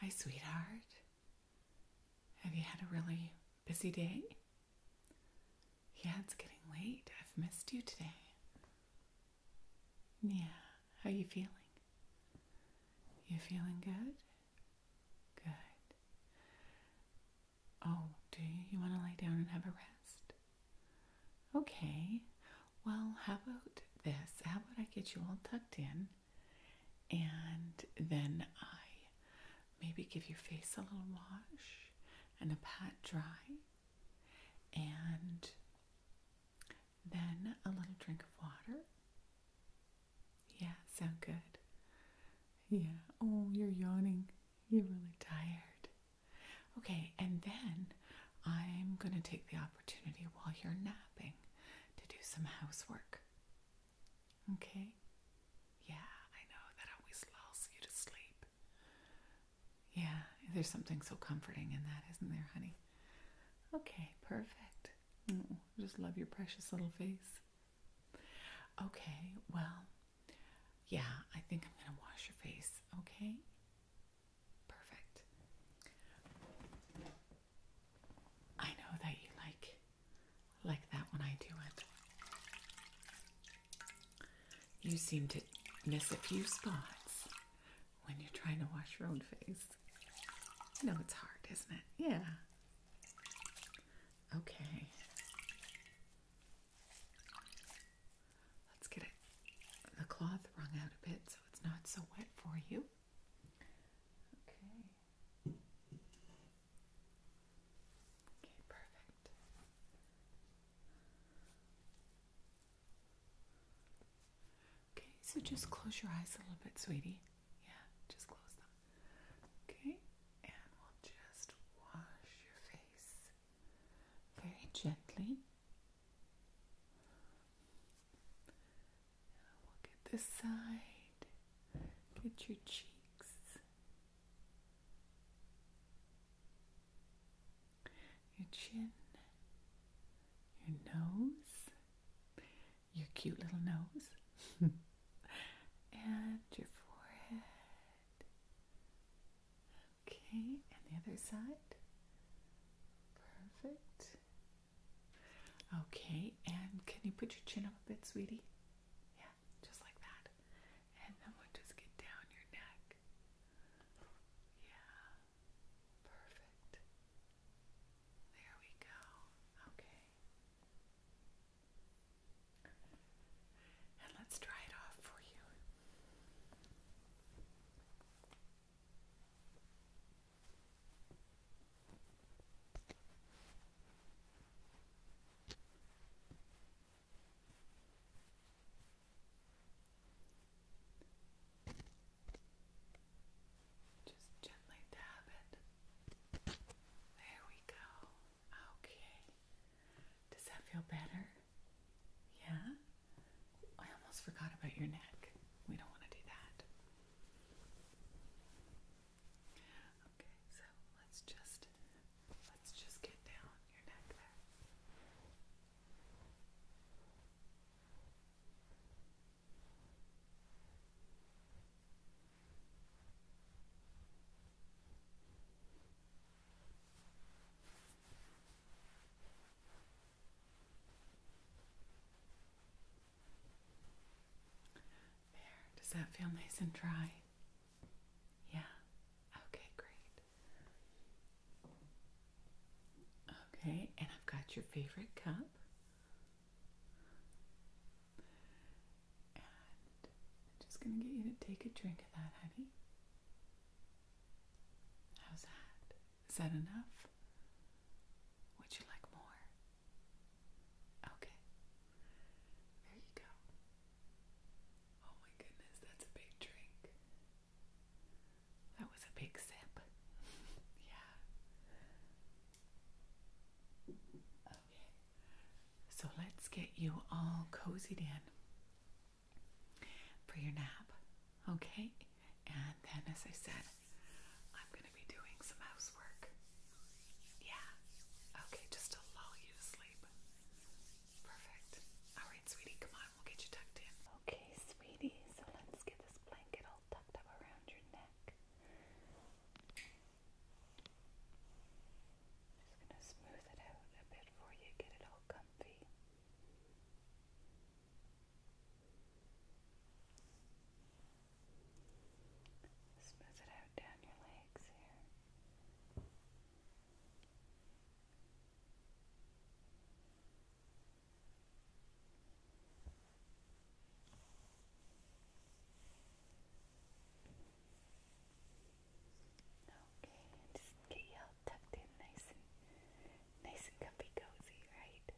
Hi, sweetheart. Have you had a really busy day? Yeah, it's getting late. I've missed you today. Yeah, how are you feeling? You feeling good? Good. Oh, do you want to lay down and have a rest? Okay. Well, how about this? How about I get you all tucked in and then I maybe give your face a little wash and a pat dry, and then a little drink of water. Yeah, sound good. Yeah. Oh, you're yawning. You're really tired. Okay, and then I'm going to take the opportunity while you're napping to do some housework. Okay? Yeah, I know that always lulls you to sleep. Yeah, there's something so comforting in that, isn't there, honey? Okay, perfect. just love your precious little face. Okay, well, yeah, I think I'm gonna wash your face, okay? Perfect. I know that you like like that when I do it. You seem to miss a few spots when you're trying to wash your own face. I know it's hard, isn't it? Yeah. Okay. Let's get it the cloth wrung out a bit so it's not so wet for you. Okay. Okay, perfect. Okay, so just close your eyes a little bit, sweetie. Yeah, just close them. Okay, and we'll just wash your face very gently. Now we get this side. Get your cheeks. Your chin. Your nose. Your cute little nose. and your forehead. Okay, and the other side. Perfect. Okay, and can you put your chin up a bit, sweetie? Yeah, just like that. And then we'll just get down your neck. Yeah, perfect. There we go. Okay. And let's try it off for you. Just gently dab it. There we go. Okay. Does that feel better? Yeah? I almost forgot about your neck. We don't want to do that. Okay, so let's just let's just get down your neck there. There, does that feel nice and dry? Yeah. Okay, great. Okay, and I've got your favorite cup. And I'm just going to get you to take a drink of that, honey. How's that? Is that enough? Would you like more? Okay. There you go. Oh my goodness, that's a big drink. That was a big sip. yeah. Okay. So let's get you all cozied in for your nap. Okay? And then, as I said, I'm going to be doing some housework. Yeah. Okay, just to lull you to sleep. Perfect. All right, sweetie, come on, we'll get you tucked in. Okay, sweetie, so let's get this blanket all tucked up around your neck. just going to smooth it out a bit for you, get it all comfy. Smooth it out down your legs here. Okay, and just get you all tucked in nice and nice and comfy cozy, right?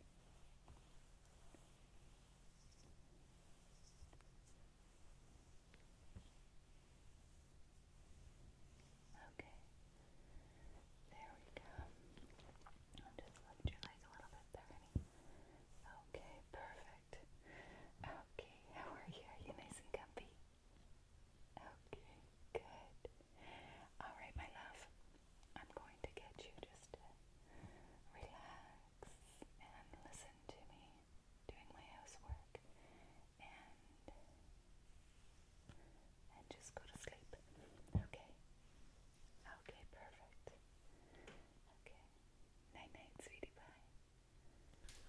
Okay, there we go. i just lift your leg a little bit there, honey. Okay, perfect. Okay, how are you? Are you nice and comfy? Okay, good. Alright, my love. I'm going to get you just to relax and listen to me doing my housework and and just go to sleep. Okay. Okay, perfect. Okay. Night night, sweetie pie.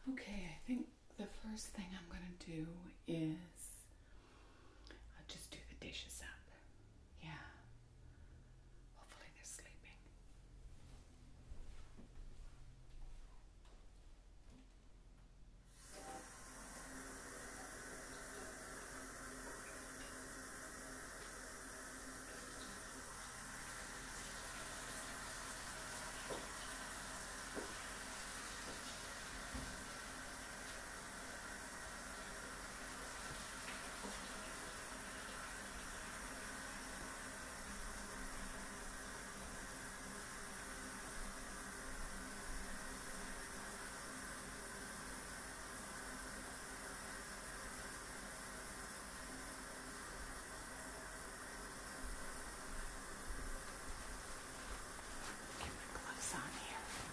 Okay, I think the first thing I'm gonna do is I'll just do the dishes up. Yeah. Hopefully they're sleeping. Keep your gloves on here.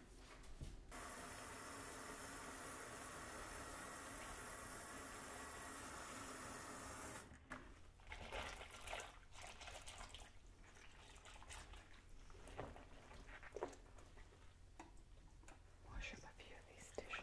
Wash up a few of these dishes.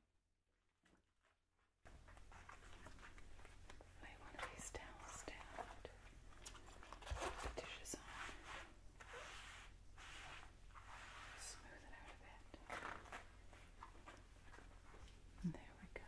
Lay one of these towels down and put the dishes on. Smooth it out a bit. And there we go.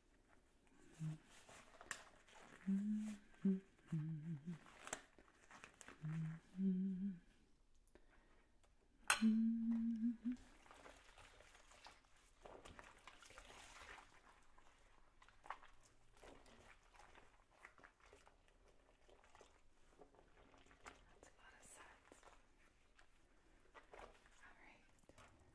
That's a lot of sets. All right.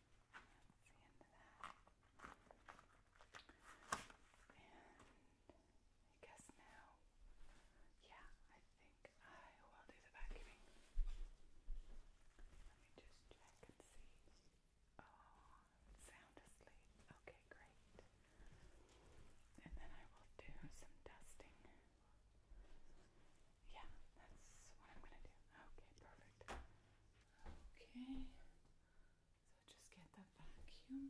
That's the I guess now, yeah, I think I will do the vacuuming. Let me just check and see. Oh, sound asleep. Okay, great. And then I will do some dusting. Yeah, that's what I'm gonna do. Okay, perfect. Okay. So just get that vacuum.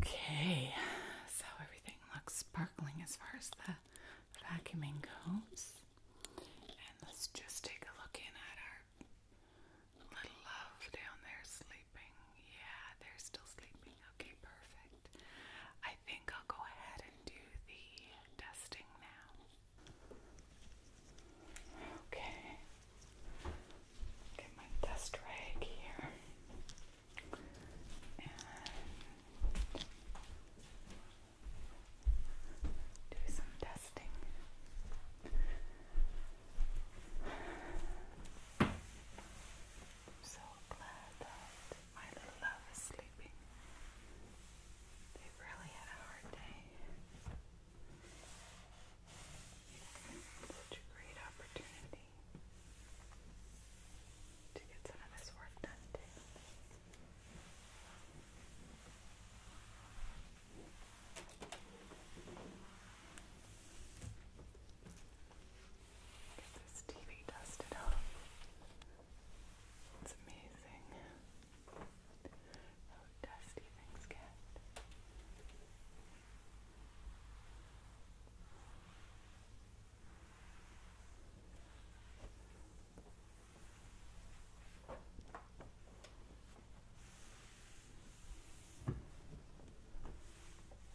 Okay, so everything looks sparkling as far as the vacuuming goes. And let's just take a look in at our little love down there sleeping. Yeah, they're still sleeping. Okay, perfect. I think I'll go ahead and do the dusting now. Okay. Get my dust rag here. And do some dusting. I'm so glad that my little love is sleeping. they really had a hard day. Such a great opportunity to get some of this work done Get this TV dusted off. It's amazing how dusty things get. There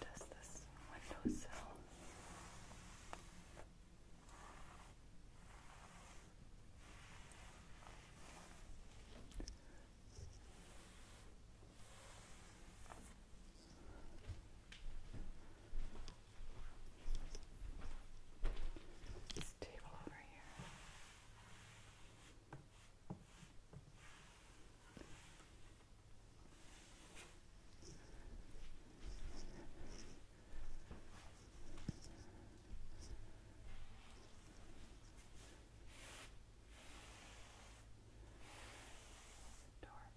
Just this windowsill. This table over here door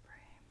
frame.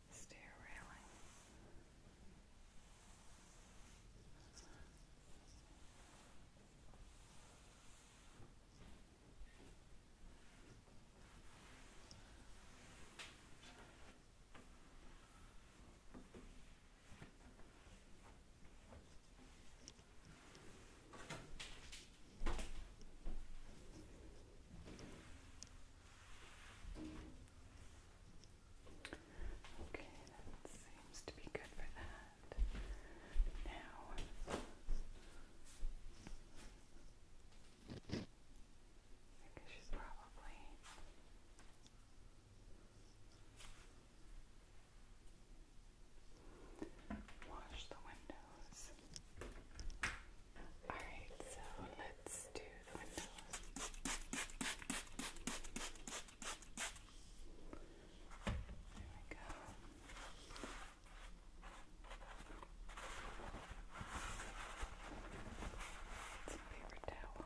stair railing. Okay, that seems to be good for that. Now, I think I probably. Wash the windows. Alright, so let's do the windows. There we go. Some paper towel.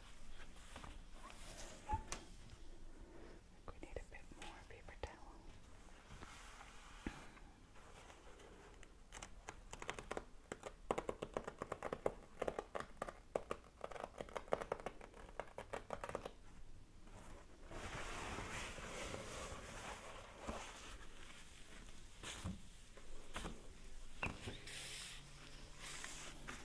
We need a bit more paper towel. Okay.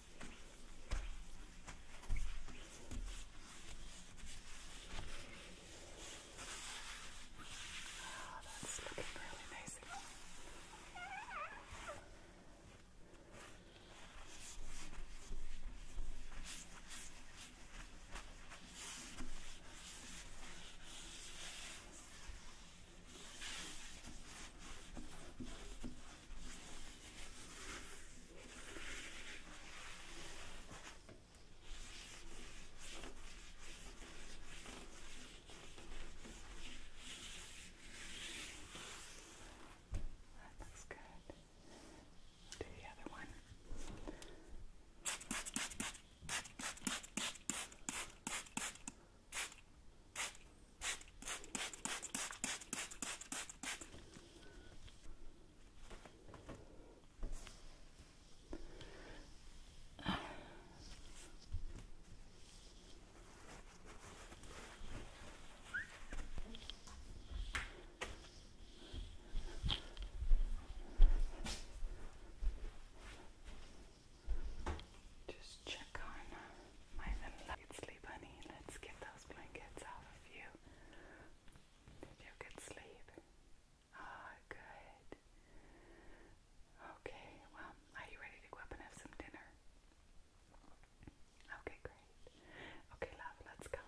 Oh, that's looking really nice. That looks good. Do the other one. Good. Just check on my little light sleep, honey. Let's get those blankets out of you you? Did you get sleep? Oh, good. Okay, well, are you ready to go up and have some dinner? Okay, great. Okay, love, let's go.